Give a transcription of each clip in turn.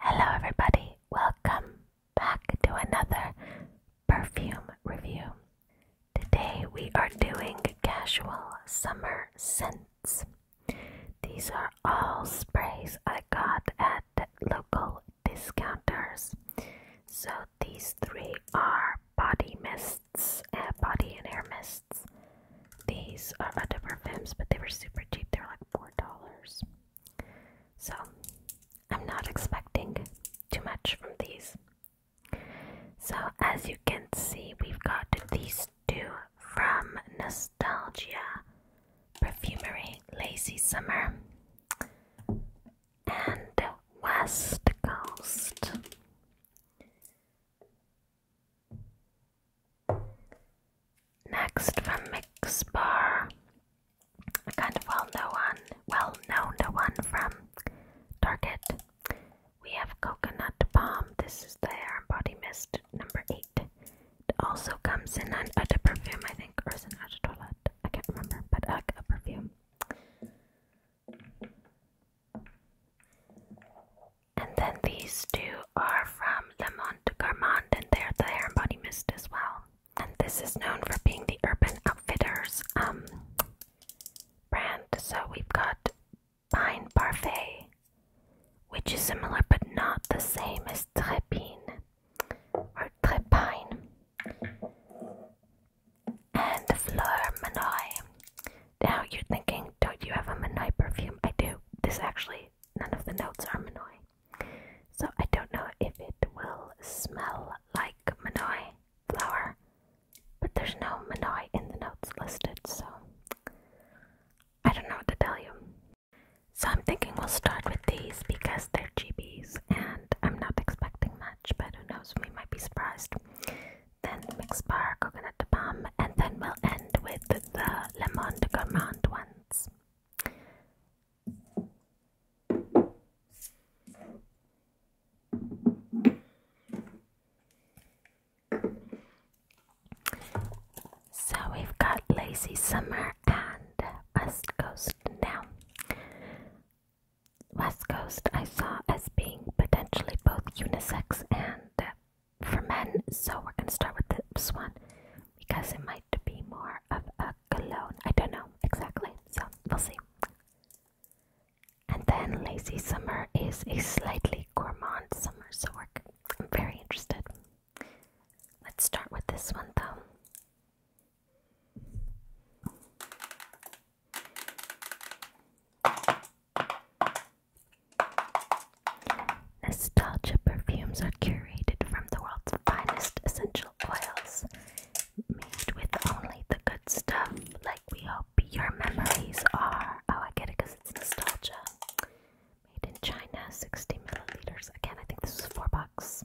Hello, everybody. Welcome back to another perfume review. Today we are doing casual summer scents. These are all sprays I got at local discounters. So these three are body mists, uh, body and hair mists. These are other perfumes, but they were super cheap. They were like four dollars. So I'm not expecting too much from these. So as you can see, we've got these two from Nostalgia Perfumery Lazy Summer and West Coast. Next from Mixbar, a kind of well known one, well known one from Target. We have coconut palm. This is the hair and body mist number eight. It also comes in an other perfume, I think, or is it an toilet? I can't remember, but like uh, a perfume. And then these two are from Le Monde Gourmand, and they're the hair and body mist as well. And this is known for being the Urban Outfitters um, brand. So we've got Pine Parfait, which is similar but not the same as Trépine or Trépine and Fleur Manoi. Now you're thinking, don't you have a Manoi perfume? I do. This actually, none of the notes are Manoi. So I don't know if it will smell like Manoi flower, but there's no Manoi in the notes listed, so I don't know what to tell you. So I'm thinking we'll start with these because they're GBs and I'm not expecting much, but who knows, we might be surprised then mixed bar coconut palm, and then we'll end with the, lemon de gourmand ones. So we've got Lazy Summer and West Coast now. West Coast I saw as being potentially both unisex and uh, for men, so we're going to start with this one because it might be more of a cologne. I don't know exactly, so we'll see. And then Lazy Summer is a slightly gourmand summer, so I'm very interested. Let's start with this one though. Nostalgia perfumes are curated from the world's finest essential oils, made with only the good stuff, like we hope your memories are. Oh, I get it because it's nostalgia. Made in China, 60 milliliters. Again, I think this was four bucks.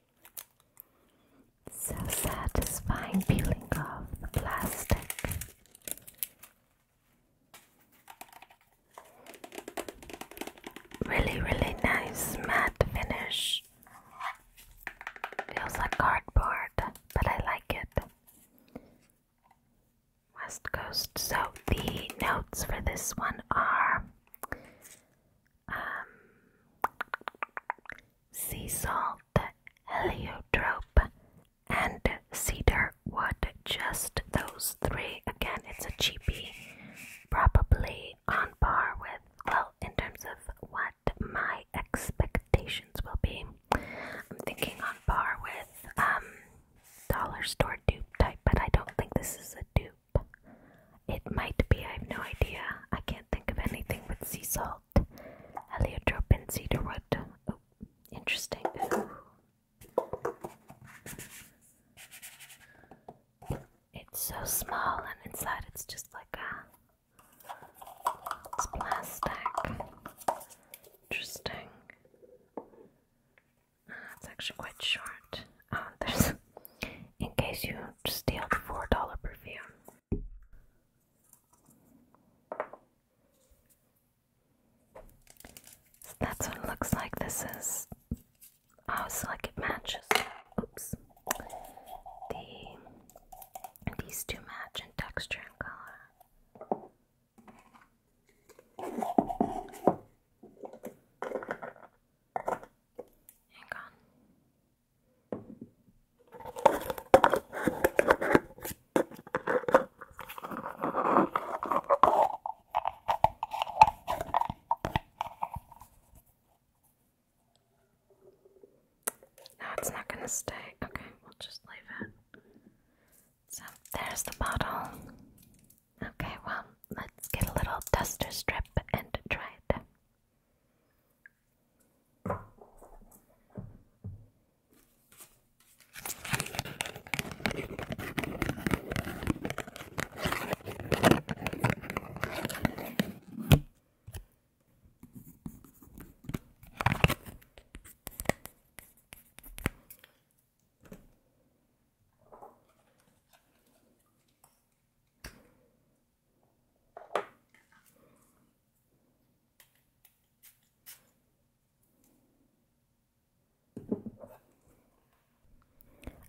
So satisfying peeling off the plastic. Really, really nice matte finish. Feels like cardboard, but I like it. West Coast. So the notes for this one are um, sea salt, heliotrope, and cedar wood. Just those three. Again, it's a cheapie, probably on par with, well, in terms of what my expectations will be. I'm thinking on par with um, dollar store dupe type, but I don't think this is a dupe. It might be, I've no idea. I can't think of anything with sea salt. Heliotropin cedarwood. Oh, interesting. It's so small, and inside it's just like a. plastic. Interesting. That's actually quite short. Uh, there's in case you steal the four dollar perfume. So that's what looks like. This is oh, so like it matches. Oops, the these two match in texture and color. Hang on. No, it's not going to stay. Okay, we'll just leave it. So there's the bottle. Okay, well, let's get a little duster strip and try it.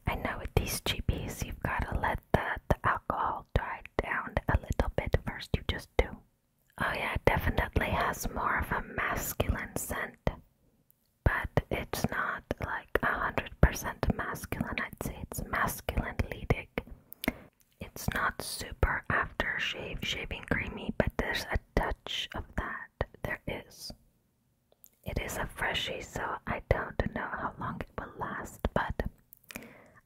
I know with these GBs, you've got to let the, the alcohol dry down a little bit first. You just do. Oh, yeah, it definitely has more of a masculine scent but it's not like a hundred percent masculine. I'd say it's masculinely It's not super after shave, shaving creamy, but there's a touch of that. There is. It is a freshie, so I don't know how long it will last, but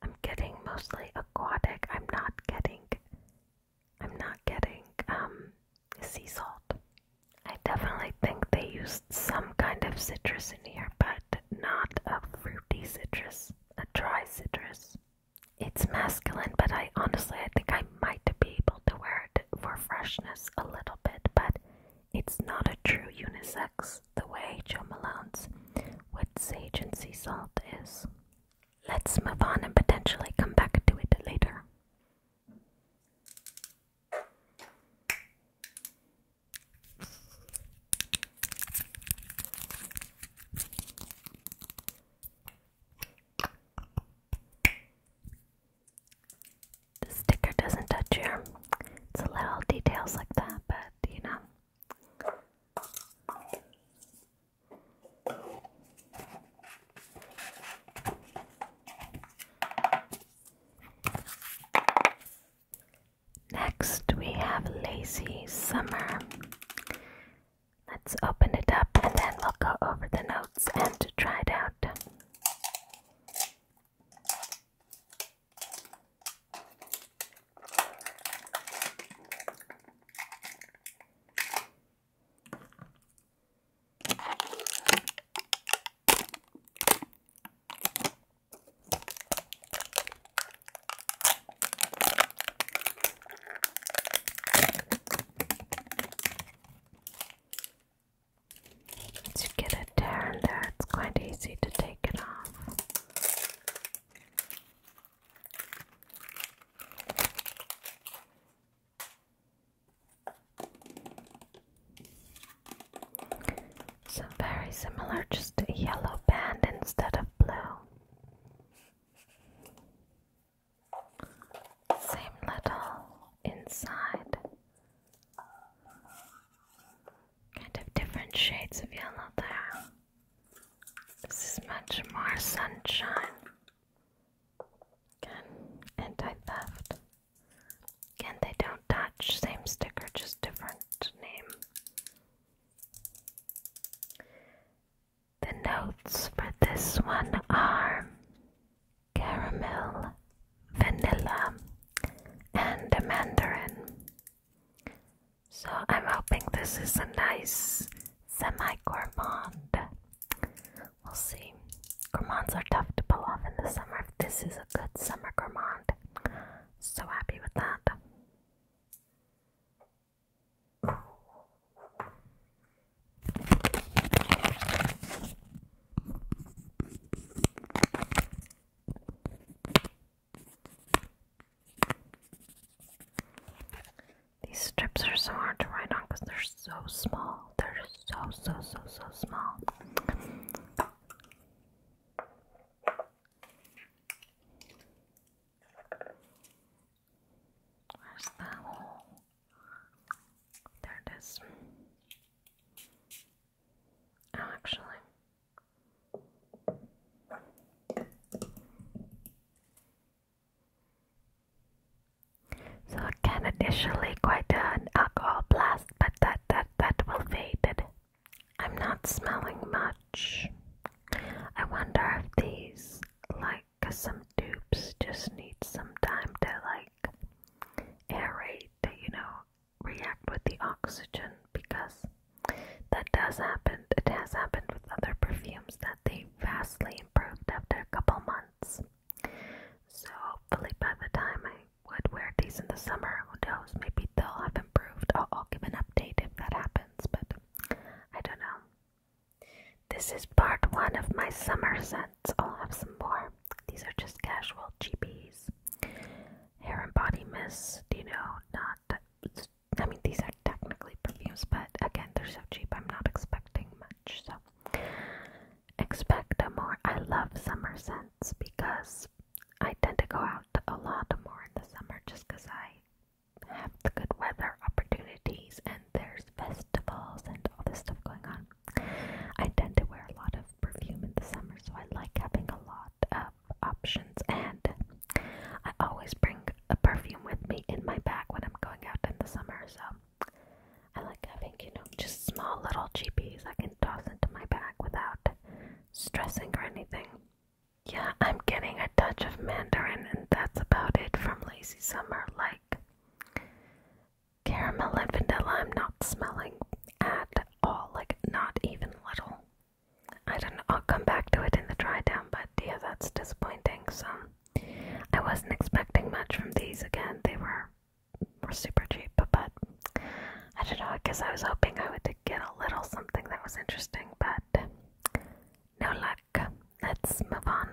I'm getting mostly aquatic. I'm not getting I'm not getting um sea salt. I definitely think they used some kind of citrus in here, but not a fruity citrus, a dry citrus. It's masculine, but I honestly I think I might be able to wear it for freshness a little bit, but it's not a true unisex the way Joe Malone's with sage and sea salt is. Let's move on and potentially come back to it later. The sticker doesn't touch you. It's a little details like that, but you know. Next, we have Lazy Summer. Let's open it up and then we'll go over the notes and try it out. Once you get it down there, it's quite easy to take it off. So very similar, just a yellow band instead of blue. Same little inside. Kind of different shades of yellow there. This is much more sunshine. Again, anti theft. Again, they don't touch, same sticker, just different name. The notes for this one are caramel, vanilla, and a mandarin. So I'm hoping this is a nice semi gourmand We'll see. Gourmands are tough to pull off in the summer. This is a good summer gourmand. So happy with that. These strips are so hard to write on because they're so small. They're so, so, so, so small. Where's the hole? There it is. Oh, actually. So can initially quite an alcohol blast, but that that that will fade. I'm not smelling much. I wonder if these, like some dupes, just need some time to like aerate, you know, react with the oxygen because that does happen. It has happened with other perfumes that they vastly improved after a couple months. So hopefully by the time I would wear these in the summer, who knows, maybe they'll have improved. I'll, give an update if that happens, but I don't know. This is part one of my summer sets. I'll have some more. These are just casual GBs. Hair and body mist, you know, not. I mean, these are technically perfumes, but again, they're so cheap, I'm not expecting much. So Expect more. I love summer scents because I tend to go out a lot more in the summer just because I have the good weather opportunities and there's festivals and all this stuff going on. I tend to wear a lot of perfume in the summer, so I like having a lot of options, and I always bring a perfume with me in my bag when I'm going out in the summer, so I like having, you know, just small little GPs I can toss into my bag without stressing or anything. Yeah, I'm getting a touch of Mandarin, and that's about it from Lazy Summer. Like caramel and vanilla, I'm not smelling at all, like, not even little. I don't know, I'll come back to it in the dry down, but yeah, that's disappointing. So, I wasn't expecting much from these again. They were were super cheap, but I don't know. because I was hoping I would get a little something that was interesting, but no luck. Let's move on.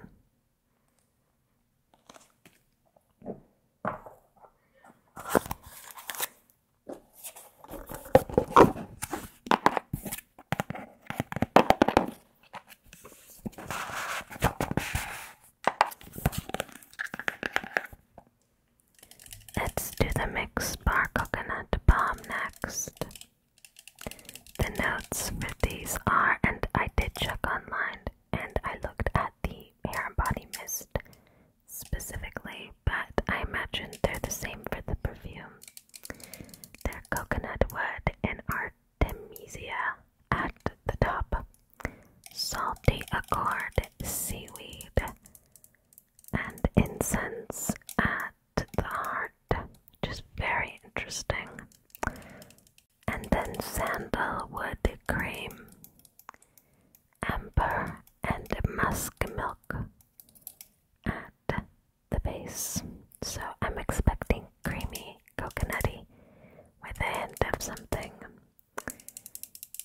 Let's do the mix bar coconut palm next. The notes for these are, and I did check online and I looked at the hair and body mist specifically, but I imagine they're the same for the perfume. They're coconut wood and art. Artemisia at the top, salty accord seaweed, and incense at the heart, which very interesting. And then sandalwood cream, amber, and musk milk at the base. So I'm expecting creamy coconutty with a hint of something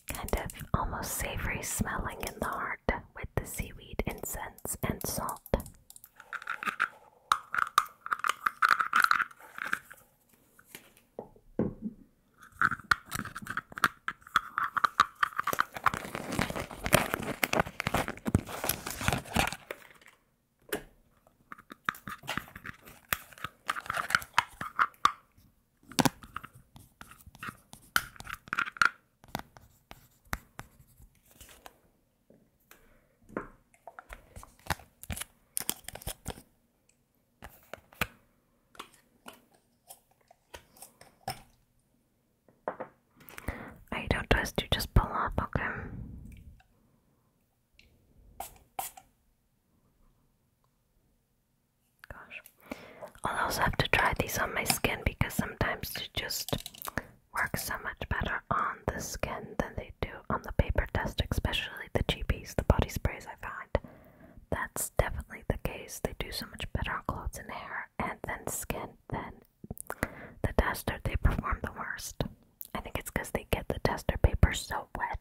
kind of almost savory smelling in the heart with the seaweed incense and salt. I don't trust you, just pull up, okay? Gosh. I'll also have to try these on my skin because sometimes they just work so much better on the skin than they do on the paper test, especially the cheapies, the body sprays I find. That's definitely the case. They do so much better on clothes and hair and then skin than the tester they perform the worst. I think it's because they get the tester paper so wet.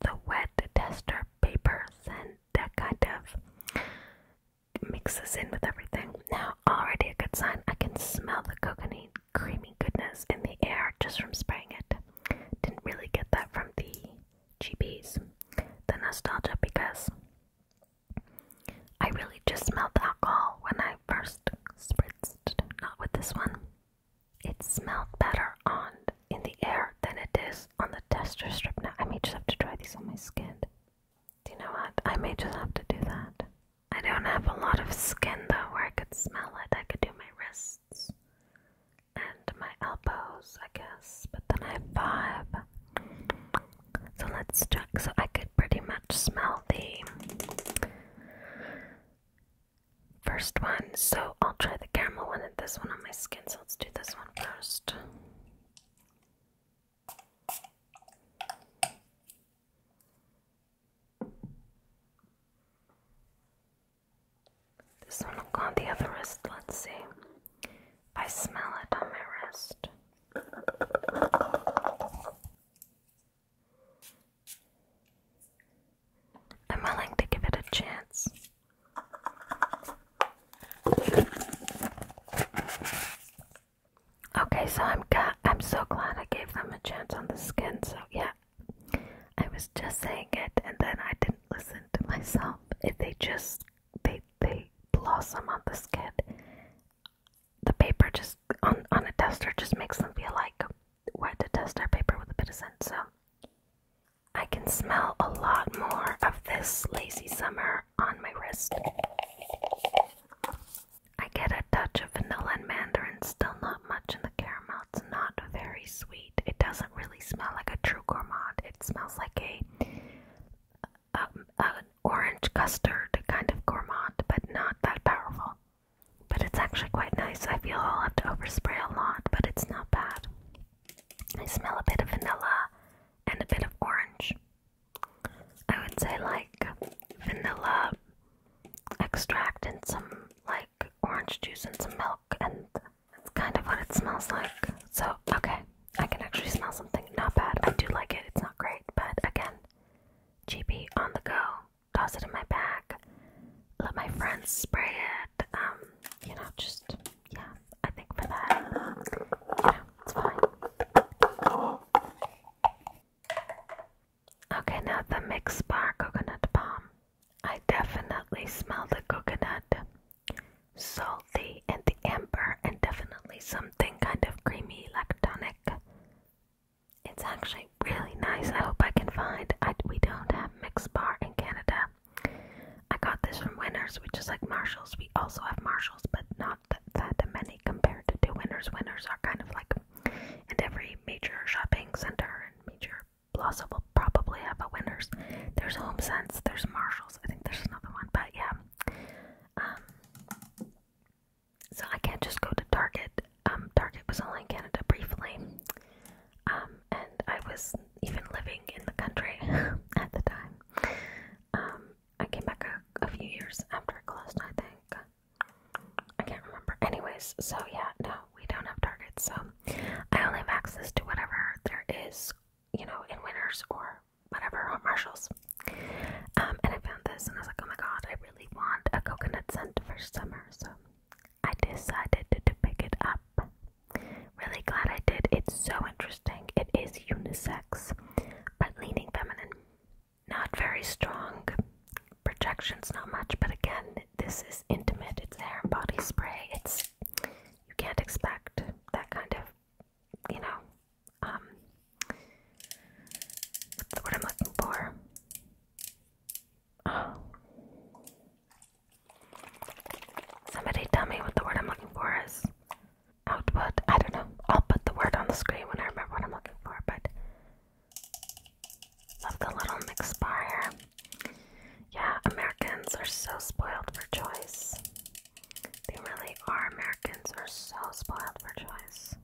The wet tester paper and that kind of mixes in with everything. Now, already a good sign. I can smell the coconut creamy goodness in the air just from spraying it. Didn't really get that from the GBs. The nostalgia because I really just smelled alcohol when I first spritzed, not with this one. It smelled better on in the air than it is on the tester strip now. I may just have to try these on my skin. Do you know what? I may just have to do that. I don't have a lot of skin though where I could smell it. I could do my wrists and my elbows, I guess. But then I have five. So let's check. So I could pretty much smell the first one. So I'll try the caramel one and this one on my skin. So let's do this one first. This one on the other wrist. Let's see I smell it on my wrist. I'm willing to give it a chance. Okay, so I'm got, I'm so glad I gave them a chance on the skin. So yeah, I was just saying it, and then I didn't listen to myself. If they just they they blossom on the skin, the paper just on on a tester just makes them feel like where to test our paper with a bit of scent. So I can smell a lot more of this lazy summer on my wrist. I get a touch of vanilla and mandarin, still not much in the caramel. It's not very sweet. It doesn't really smell like a true gourmand. It smells like a, um, a, orange custard kind of gourmand, but not that powerful. But it's actually quite nice. I feel I'll have to overspray a lot, but it's not bad. I smell a bit of vanilla and a bit of orange. I would say like vanilla extract and some like orange juice and some milk, and that's kind of what it smells like. So, okay, I can actually smell something. Not bad. I do like it. It's not great, but again, cheapy on the go toss it in my bag, let my friends spray it. Um, you know, just yeah, I think for that, you it's fine. Okay, now the mixed bar coconut palm. I definitely smell the coconut, salty, and the amber, and definitely something kind of creamy, like tonic. It's actually really nice. I hope I can find. we don't have Mix Bar in Canada. I got this from Winners, which is like Marshalls. We also have Marshalls, but not that, many compared to, Winners. Winners are kind of like in every major shopping center and major plaza will probably have a Winners. There's Home Sense, there's Marshalls. I think there's another one, but yeah. Um, so I can't just go to Target. Um, Target was only in Canada briefly. Um, and I was even living in the country at the time. Um, I came back a, few years after it closed, I think. I can't remember. Anyways, so yeah, no, we don't have targets, so I only have access to whatever there is, you know, in Winners or whatever, or Marshalls. and I found this and I was like, oh my god, I really want a coconut scent for summer, so I decided to pick it up. Really glad I did. It's so interesting. It is unisex, but leaning feminine. Not very strong. Projections, not much, but again, this is intimate. It's hair and body spray. It's you can't expect that kind of, you know, um, what's I'm looking for? Oh. Somebody tell me what the word I'm looking for is. Output? I don't know. I'll put the word on the screen when I remember what I'm looking for, but. Love the little mix Yeah, Americans are so spoiled for choice. They really are. Americans are so spoiled for choice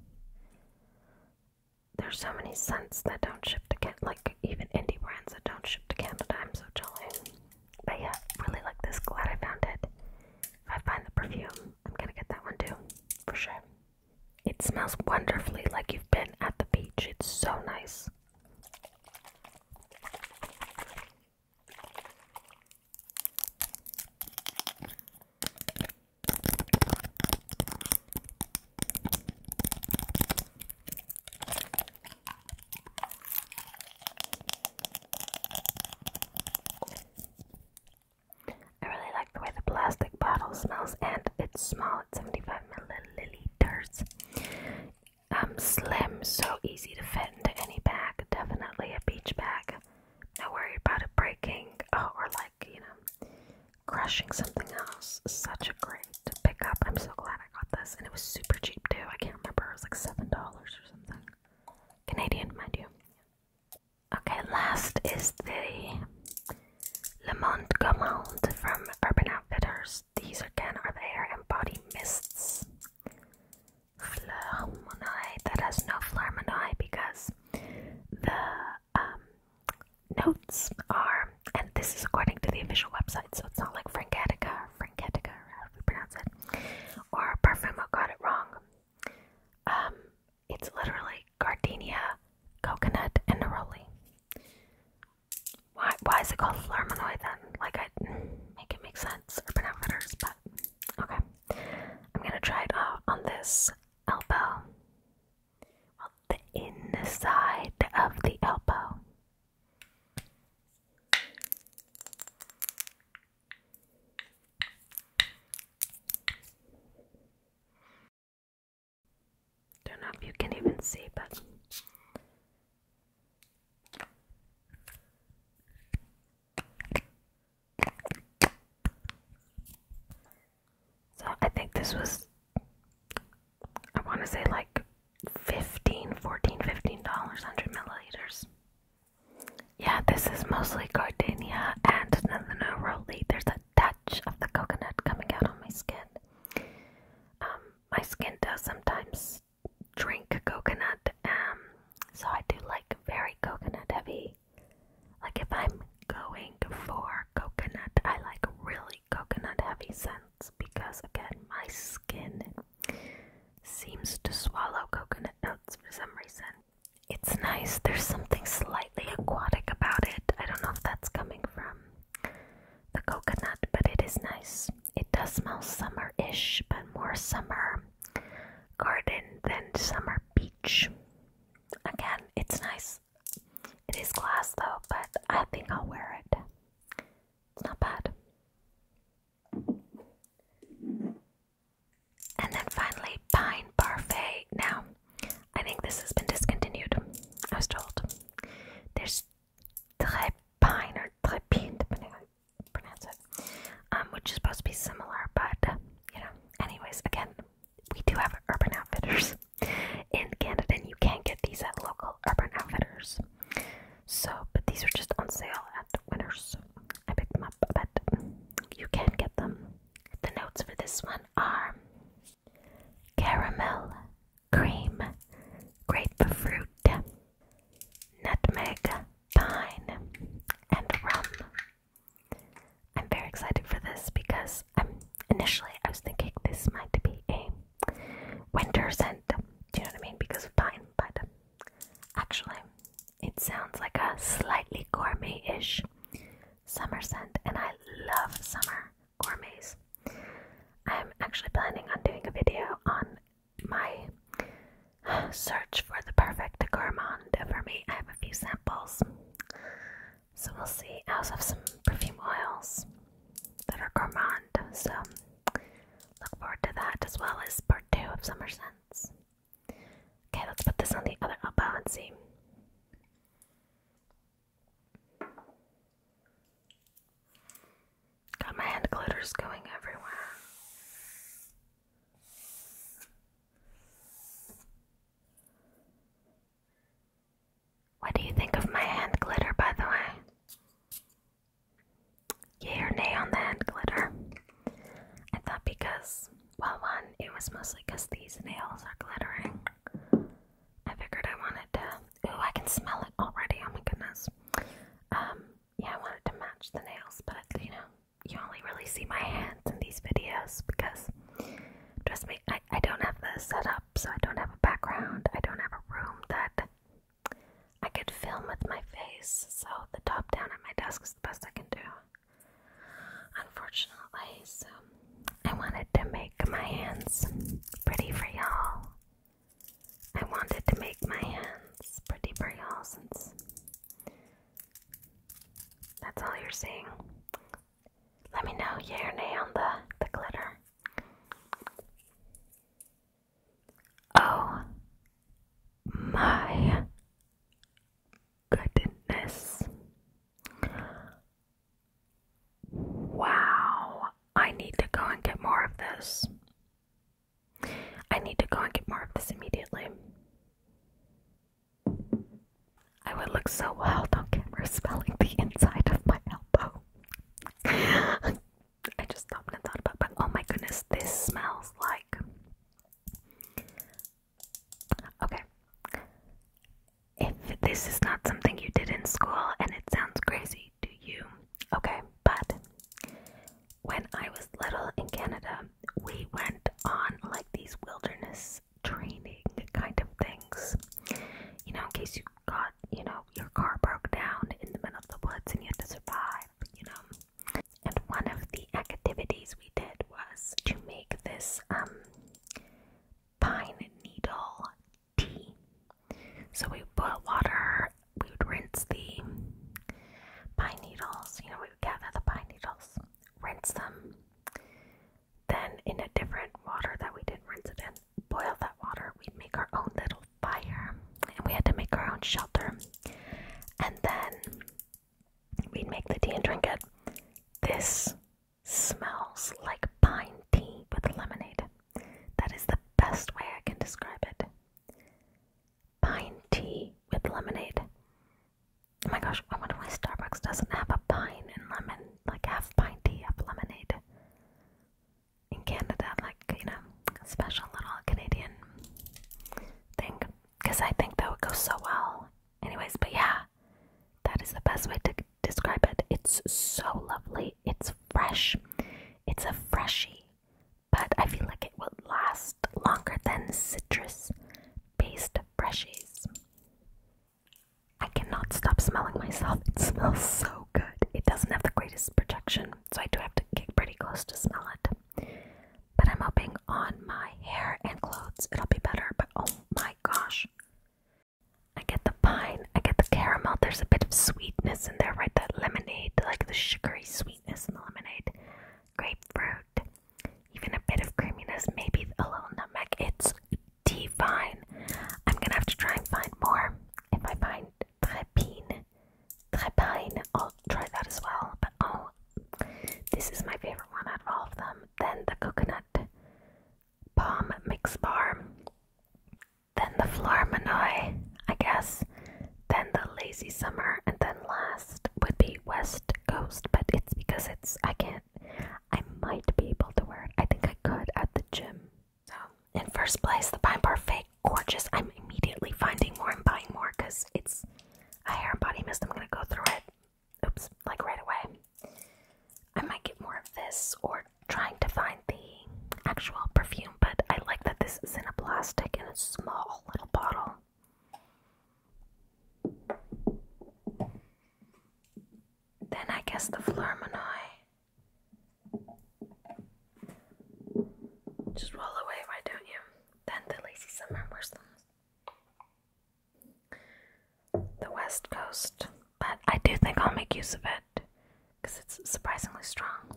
there's so many scents that don't ship to Canada, like even indie brands that don't ship to Canada. I'm so jealous. But yeah, really like this. Glad I found it. If I find the perfume, I'm gonna get that one too, for sure. It smells wonderfully like you've been at the beach. It's so nice. I really like the way the plastic bottle smells, and it's small at 75 milliliters. Um, slim, so easy to fit into any bag. Definitely a beach bag. No worry about it breaking, oh, or like you know, crushing something else. Such a great pick up. I'm so glad I got this. And it was super cheap too. I can't remember. It was like $7 or something. Canadian, mind you. Okay, last is the Le Monde Gourmand from Urban Outfitters. These again are the hair and body mists. Fleur That has no Fleur because the um, notes are, and this is according to the official website, so it's not like Franketica or Franketica, or how do we pronounce it, or Parfumo got it wrong. Um, it's literally gardenia, coconut, and neroli. Why, why is it called Flermanoi then? Like, I make it make sense, urban outfitters, but okay. I'm gonna try it out on this elbow the inside of the elbow. Don't know if you can even see, but so I think this was, I want to say like 15, 14, 15 dollars, 100 milliliters. Yeah, this is mostly gardenia and Neleno There's a touch of the coconut coming out on my skin. Um, my skin does sometimes drink coconut, um, so I do like very coconut heavy like if I'm going for coconut, I like really coconut heavy scents because again, my skin seems to swallow coconut notes for some reason. It's nice, there's something slightly aquatic about it. I don't know if that's coming from the coconut, but it is nice. It does smell summer ish, but more summer garden than summer beach. Again, it's nice. It is glass though, but I think I'll wear it. It's not bad. And then finally, Pine Parfait. Now, I think this has been discontinued, I was told. There's Très Pine or Trépine, depending pronounce it, um, which is supposed to be similar, but, you know, anyways, again, we do have Urban Outfitters in Canada, and you can get these at local Urban Outfitters. So, but these are just on sale at Winners. I picked them up, but you can get them. The notes for this one are caramel, cream, grapefruit, nutmeg, pine, and rum. I'm very excited for this because um, initially I was thinking this might be a winter scent, do you know what I mean? Because of pine, but um, actually it sounds like a slightly gourmet ish summer scent, and I love summer gourmets. I'm actually planning on doing a video on my search for the perfect gourmand for me. I have a few samples so we'll see. I also have some perfume oils that are gourmand, so look forward to that as well as part two of Summer Scents. Okay, let's put this on the other elbow and see. God, my hand glitter's going everywhere. What do you think of my hand glitter, by the way? Yay or nay on the hand glitter? I thought because, well, one, it was mostly because these nails are glittering. I figured I wanted to. Ooh, I can smell it already. Oh my goodness. Um, yeah, I wanted to match the nails, but you know, you only really see my hands in these videos because Trust me, I, I don't have the setup, so I don't have a background. I don't have a room that I could film with my face, so the top down at my desk is the best I can do. Unfortunately, so I wanted to make my hands pretty for y'all. I wanted to make my hands pretty for y'all since that's all you're seeing. Let me know yeah or nay on the, the glitter. Oh my goodness. Wow. I need to go and get more of this. I need to go and get more of this immediately. I would look so wild on camera smelling the inside of my elbow. I just stopped and thought about, but oh my goodness, this smells like. Okay. If this is not something you did in school and it sounds crazy to you, okay, but when I was little in Canada, we went on like these wilderness fitness training kind of things. You know, in case you got, you know, your car broke down in the middle of the woods and you had to survive, you know. And one of the activities we did was to make this um pine needle tea. So we boil water, we would rinse the pine needles, you know, we would gather the pine needles rinse them. Then, in a different water that we didn't rinse it in, boil that water. We'd make our own little fire, and we had to make our own shelter. And then we'd make the tea and drink it. This smells like pine tea with lemonade. That is the best way I can describe it. Pine tea with lemonade. Oh my gosh, I wonder why Starbucks doesn't have a pine and lemon, like half pint tea of lemonade. In Canada, like, you know, special little Canadian thing. Because I think that would go so well. Anyways, but yeah, that is the best way to describe it. It's so lovely. It's fresh. It's a freshie. But I feel like it would last longer than citrus based freshies. I cannot stop smelling myself. It smells so good. It doesn't have the greatest protection, so I do have to get pretty close to smell it. But I'm hoping on my hair and clothes it'll be better. But oh my gosh. I get the pine, I get the caramel. There's a bit of sweetness in there, right? That lemonade, like the sugary sweetness in the lemonade. Grapefruit, even a bit of creaminess, maybe a little nutmeg. It's divine. I'm gonna have to try and find more. If I find trepine, trepine, I'll try that as well. But oh, this is my favorite one out of all of them. Then the coconut palm mix bar. Then the Flor Manoi, I guess. Then the lazy summer, and then last would be West Coast, but it's because it's I can't. I might be able to wear it. I think I could at the gym. So, in first place, the Pine Parfait, gorgeous. I'm immediately finding more and buying more because it's a hair and body mist. I'm gonna go through it. Oops, like right away. I might get more of this or trying to find the actual perfume, but I like that this is in a plastic in a small little bottle. Then I guess the Flormanoi. Just roll away, why don't you? Then the lazy summer worsens. The west coast. But I do think I'll make use of it. Because it's surprisingly strong.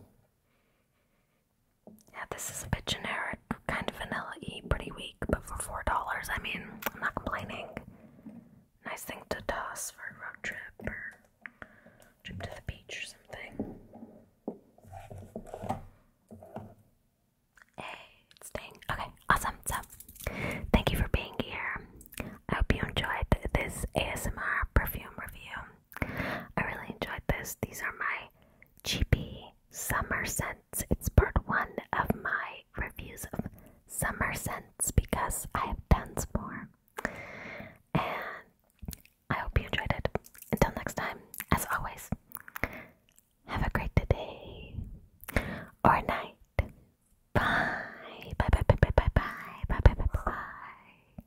Yeah, this is a bit generic, kind of vanilla y, pretty weak but for four dollars, I mean, I'm not complaining. Nice thing to toss for a road trip or trip to the beach or something. Hey, it's Ding. Okay, awesome. So, thank you for being here. I hope you enjoyed this ASMR perfume review. I really enjoyed this. These are my Cheapy Summer Scents. It's part one of my reviews of Summer Scents because I have tons more. And I hope you enjoyed it. Until next time, as always, have a great day or night. bye bye bye bye bye bye bye bye bye. bye.